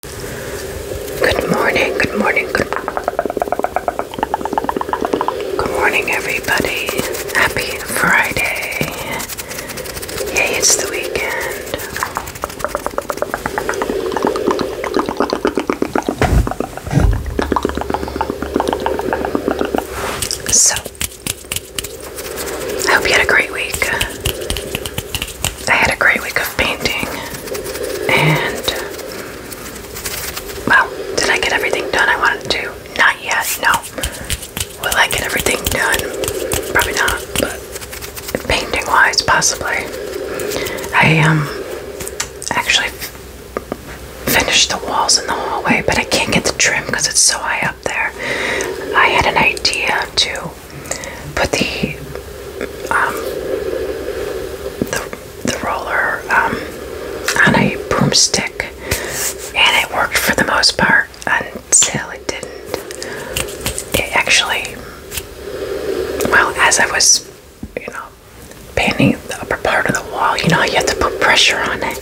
Good morning, good morning, good morning everybody. Happy Friday. Yay, it's the weekend. So I hope you had a great week. I had a great week of painting, and well, did I get everything done I wanted to? Not yet, no. Will I get everything done? Probably not, but painting wise, possibly. I um actually finished the walls in the hallway, but I can't get the trim because it's so high up there. I had an idea to put the um, the roller um, on a broomstick, and it worked for the most part until it didn't. It actually, well, as I was, you know, painting the upper part of the wall, you know, you have to put pressure on it.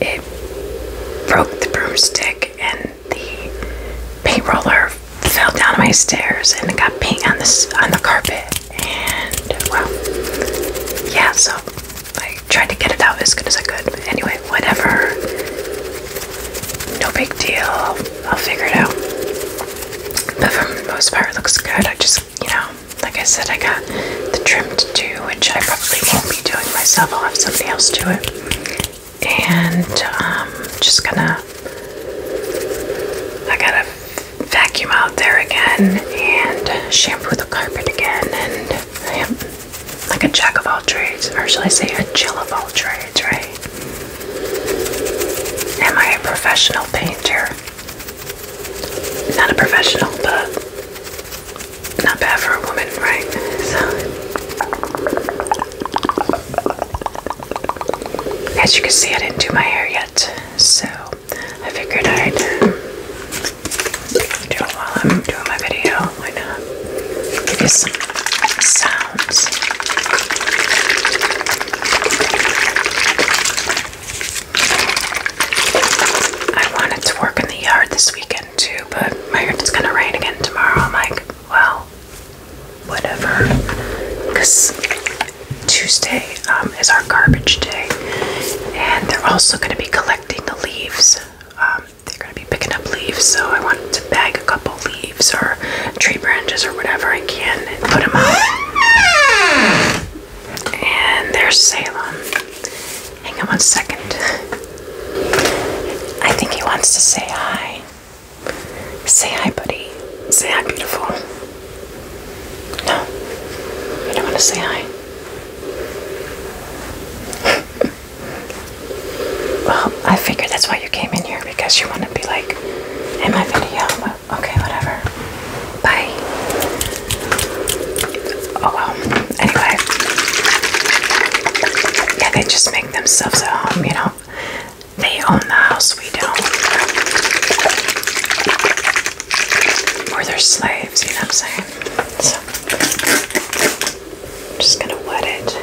It broke the broomstick and the paint roller fell down my stairs and it got paint on this on the carpet and well yeah so I tried to get it out as good as I could anyway whatever no big deal I'll figure it out but for the most part it looks good I just you know like I said I got the trim to do which I probably won't be doing myself I'll have somebody else do it and um, just gonna I gotta vacuum out there again and shampoo the carpet again and I am like a jack of all trades or shall I say a jill of all trades right am I a professional painter not a professional but not bad for a woman right so as you can see, I didn't do my hair yet, so I figured I'd do it while I'm doing my video. Why not? Give you some sounds. I wanted to work in the yard this weekend too, but my heard it's gonna rain again tomorrow. I'm like, well, whatever. Because Tuesday um, is our garbage day, and they're also going to be collecting the leaves. Um, they're going to be picking up leaves, so I wanted to bag a couple leaves or tree branches or whatever I can and put them out. And there's Salem. Hang on one second. I think he wants to say hi. Say hi, buddy. Say hi, beautiful. No, you don't want to say hi. well, I figured that's why you came in here because you want to be like in my video. Well, okay, whatever. Bye. Oh well. Anyway, yeah, they just make themselves at home, you know. They own the house, we don't. Or they're slaves, you know what I'm saying? So, I'm just gonna wet it.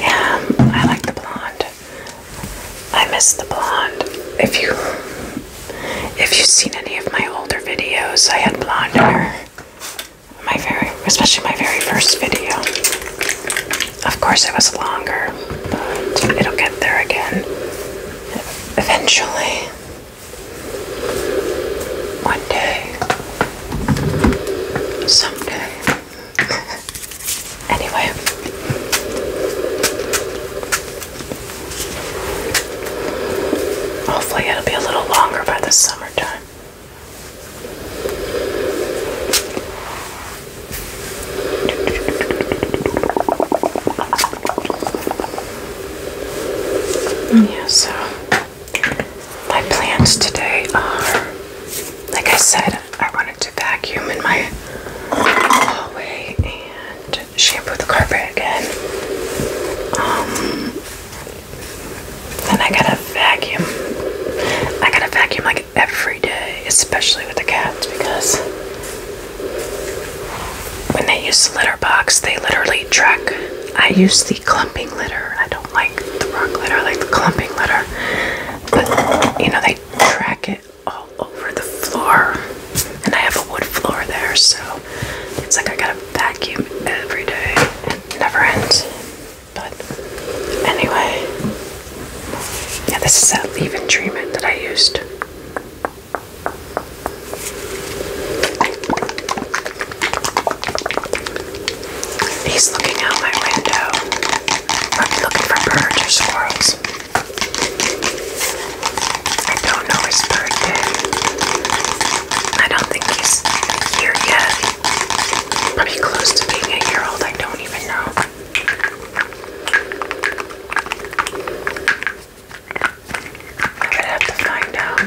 Yeah, I like the blonde. I miss the blonde. If you if you've seen any of my older videos, I had blonde hair my very, especially my very first video. Of course, it was longer, but it'll get there again eventually. One day. Someday. anyway. Hopefully, it'll be a little longer by the summertime. Yeah, so my plans today are like I said, I wanted to vacuum in my hallway and shampoo the carpet again. Um, then I gotta vacuum. I gotta vacuum like every day, especially with the cats, because when they use the litter box, they literally track. I use the clumping litter. I don't like the rock litter. I like the clumping litter. But, you know, they track it all over the floor. And I have a wood floor there, so it's like I gotta vacuum every day and never ends. But anyway, yeah, this is that leave-in treatment that I used. He's looking out my window. I'm looking for birds or squirrels. I don't know his birthday. I don't think he's here yet. Probably close to being a year old. I don't even know. I would have to find out.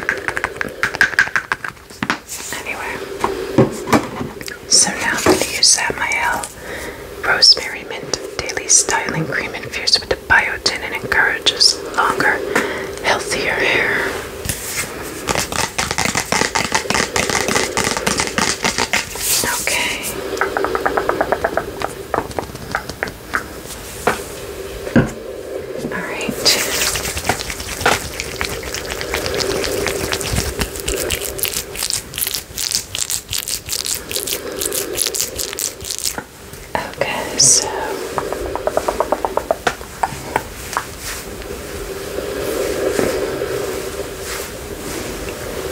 Anyway, so now I'm going to use Samael Rosemary Mint Daily Styling Cream Confused with the biotin and encourages longer, healthier hair. Okay. All right. Okay, so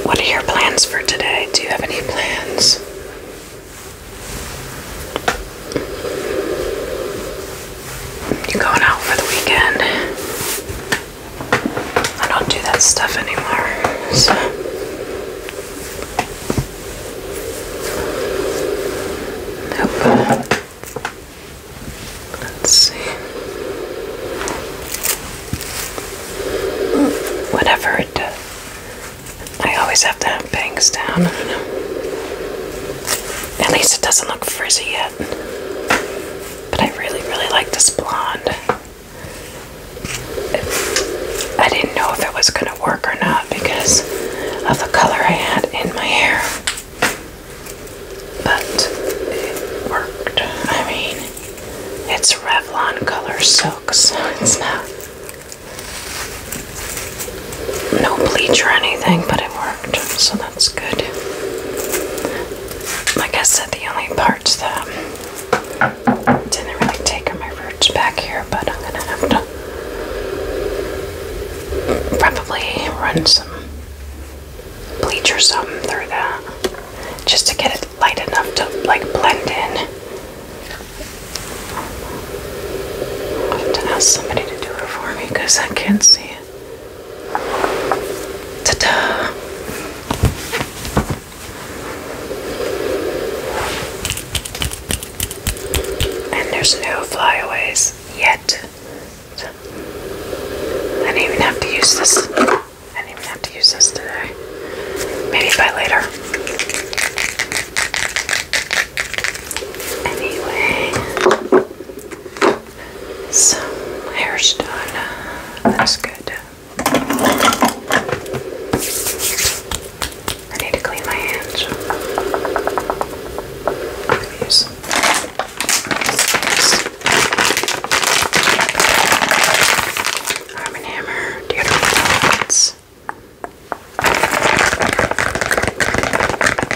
what are your plans for today? Do you have any plans? You going out for the weekend? I don't do that stuff anymore. So. Nope. Let's see. Whatever it does. I always have to have bangs down. At least it doesn't look frizzy yet. But I really, really like this blonde. I did didn't know if it was going to work or not because of the color I had in my hair. But it worked. I mean, it's Revlon color silk, so it's not no bleach or anything, but it worked, so that's good. Like I said, the only parts that didn't really take my roots back here, but I'm gonna have to probably run some bleach or something through that just to get it light enough to like blend in. I'll have to ask somebody to do it for me because I can't see Ta da! And there's no flyaways yet. I do not even have to use this. I didn't even have to use this today. Maybe by later. Anyway, some hair's done. That's good. I need to clean my hands. Use Arm and Hammer deodorant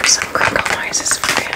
some crinkle noises for you.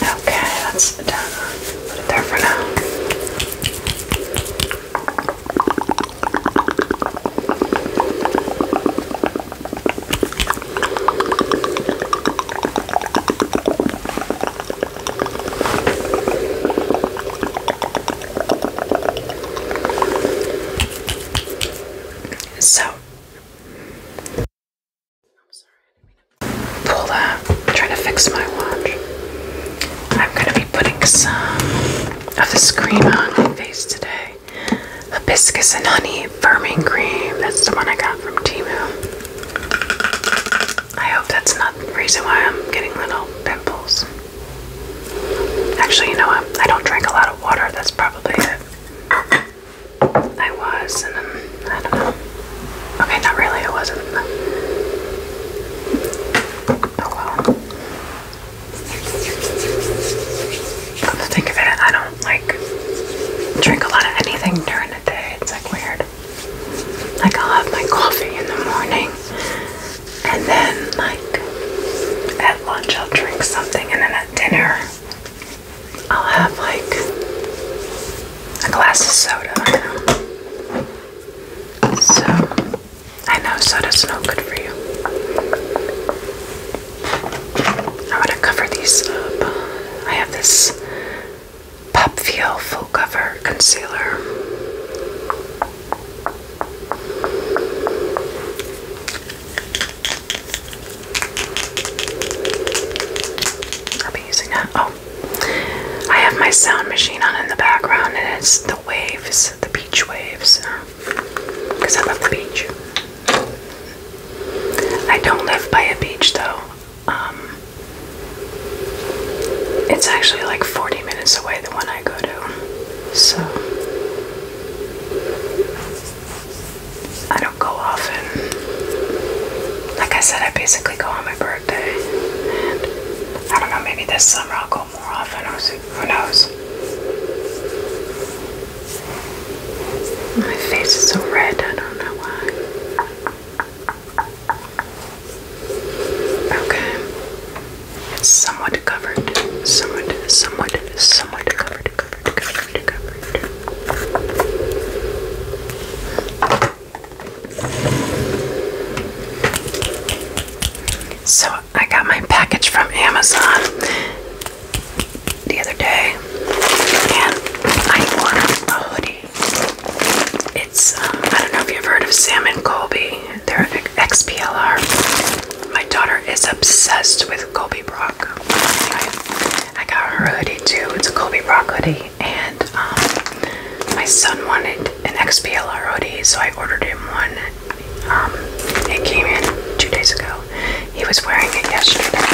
Okay, that's done. Put it there for now. So pull that. I'm trying to fix my watch. I'm going to be putting some of this cream on my face today. Hibiscus and honey firming cream. That's the one I got from Timu. I hope that's not the reason why I'm getting little pimples. Actually, you know I don't drink a lot of water. That's probably it. I was, and then um, I don't know. Okay, not really, I wasn't. Oh well. Come to think of it, I don't like drink a lot of anything during the day. It's like weird. Like I'll have my coffee in the morning, and then like at lunch I'll drink something, and then at dinner I'll have like a glass of soda. So I know soda's not good for you. i want to cover these up. I have this Pop Feel Full Cover Concealer. I'll be using that. Oh, I have my sound machine on in the background, and it's the waves, the beach waves, because I love the beach. I don't live by a beach though. Um, it's actually like 40 minutes away, the one I go to. So. I don't go often. Like I said, I basically go on my birthday. I don't know, maybe this summer I'll go more often. Who knows? My face is so red, I don't know why. Okay. somewhat covered. Somewhat, somewhat, somewhat covered. So I got my package from Amazon the other day, and I ordered a hoodie. It's um, I don't know if you've heard of Sam and Colby. They're XPLR. My daughter is obsessed with Colby Brock. I got her hoodie too. It's a Kobe Brock hoodie, and um, my son wanted an XPLR hoodie, so I ordered him one. Um, it came in two days ago. He was wearing it yesterday.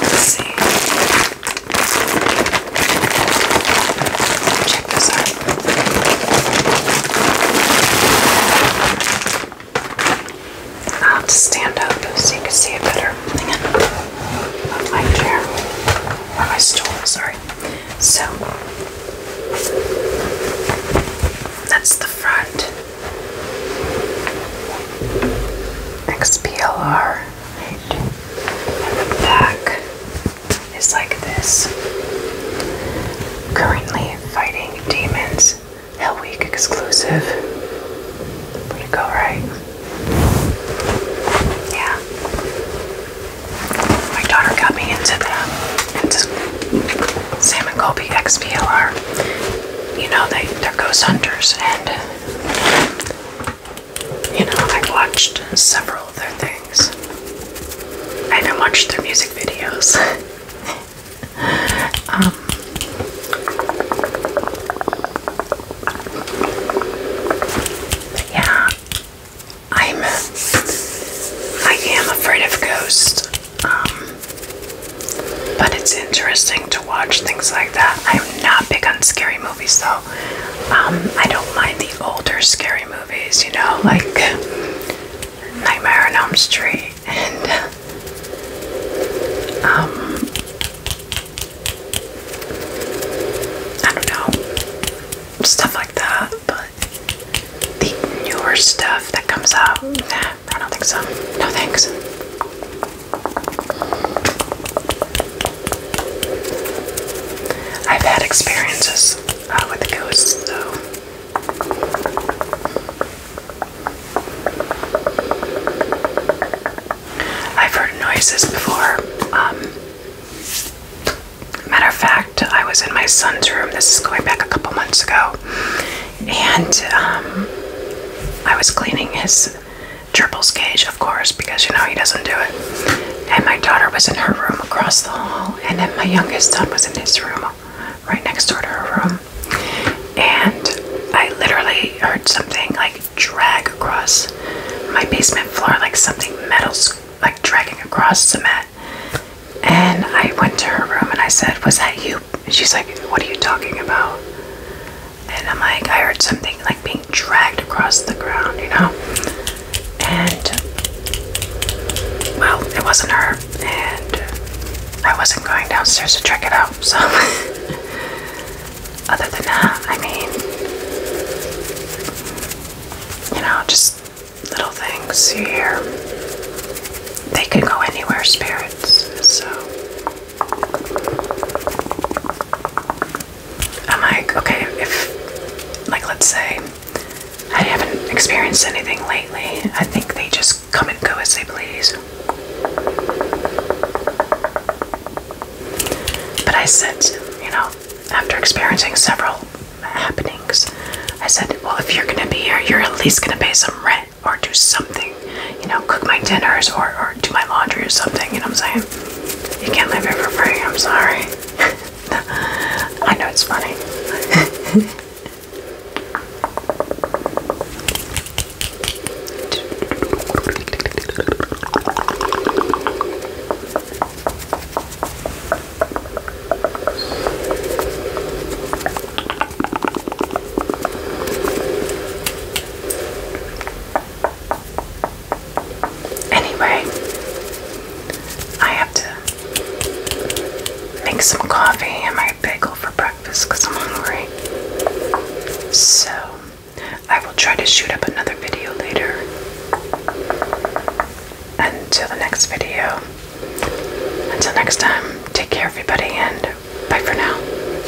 let's see i have to stand up so you can see it better. my chair. Or my stool, sorry. So that's the front. XPLR Right. the back is like this. Currently fighting demons. Hell Week exclusive. Pretty cool, right? Yeah. My daughter got me into the Sam and Colby XPLR. You know they they're ghost hunters and you know, I watched several of their things. I have even watched their music videos. Um, yeah, I'm. I am afraid of ghosts. Um, but it's interesting to watch things like that. I'm not big on scary movies though. Um, I don't mind the older scary movies, you know, like Nightmare on Elm Street and um, I don't know, stuff like that. But the newer stuff that comes out, I don't think so. No thanks. I've had experiences uh, with the ghosts, though. I've heard noises before. Um, matter of fact, I was in my son's room. This is going back a couple months ago, and um, I was cleaning his Triple's cage, of course, because you know he doesn't do it. And my daughter was in her room across the hall, and then my youngest son was in his room right next door to her room. And I literally heard something like drag across my basement floor, like something metal's like dragging across cement. And I went to her room and I said, Was that you? And she's like, What are you talking about? and I'm like, I heard something like being dragged across the ground, you know? And, well, it wasn't her, and I wasn't going downstairs to check it out, so. Other than that, I mean, you know, just little things you hear. They can go anywhere, spirits, so. I'm like, okay, if, like, let's say I haven't experienced anything lately, I think they just come and go as they please. But I said, you know, after experiencing several happenings, I said, well, if you're gonna be here, you're at least gonna pay some rent or do something you know, cook my dinners or, or do my laundry or something, you know what I'm saying? You can't live it for free, I'm sorry. I know it's funny. Anyway, I have to make some coffee and my bagel for breakfast because I'm hungry. So, I will try to shoot up another video later. Until the next video. Until next time, take care, everybody, and bye for now.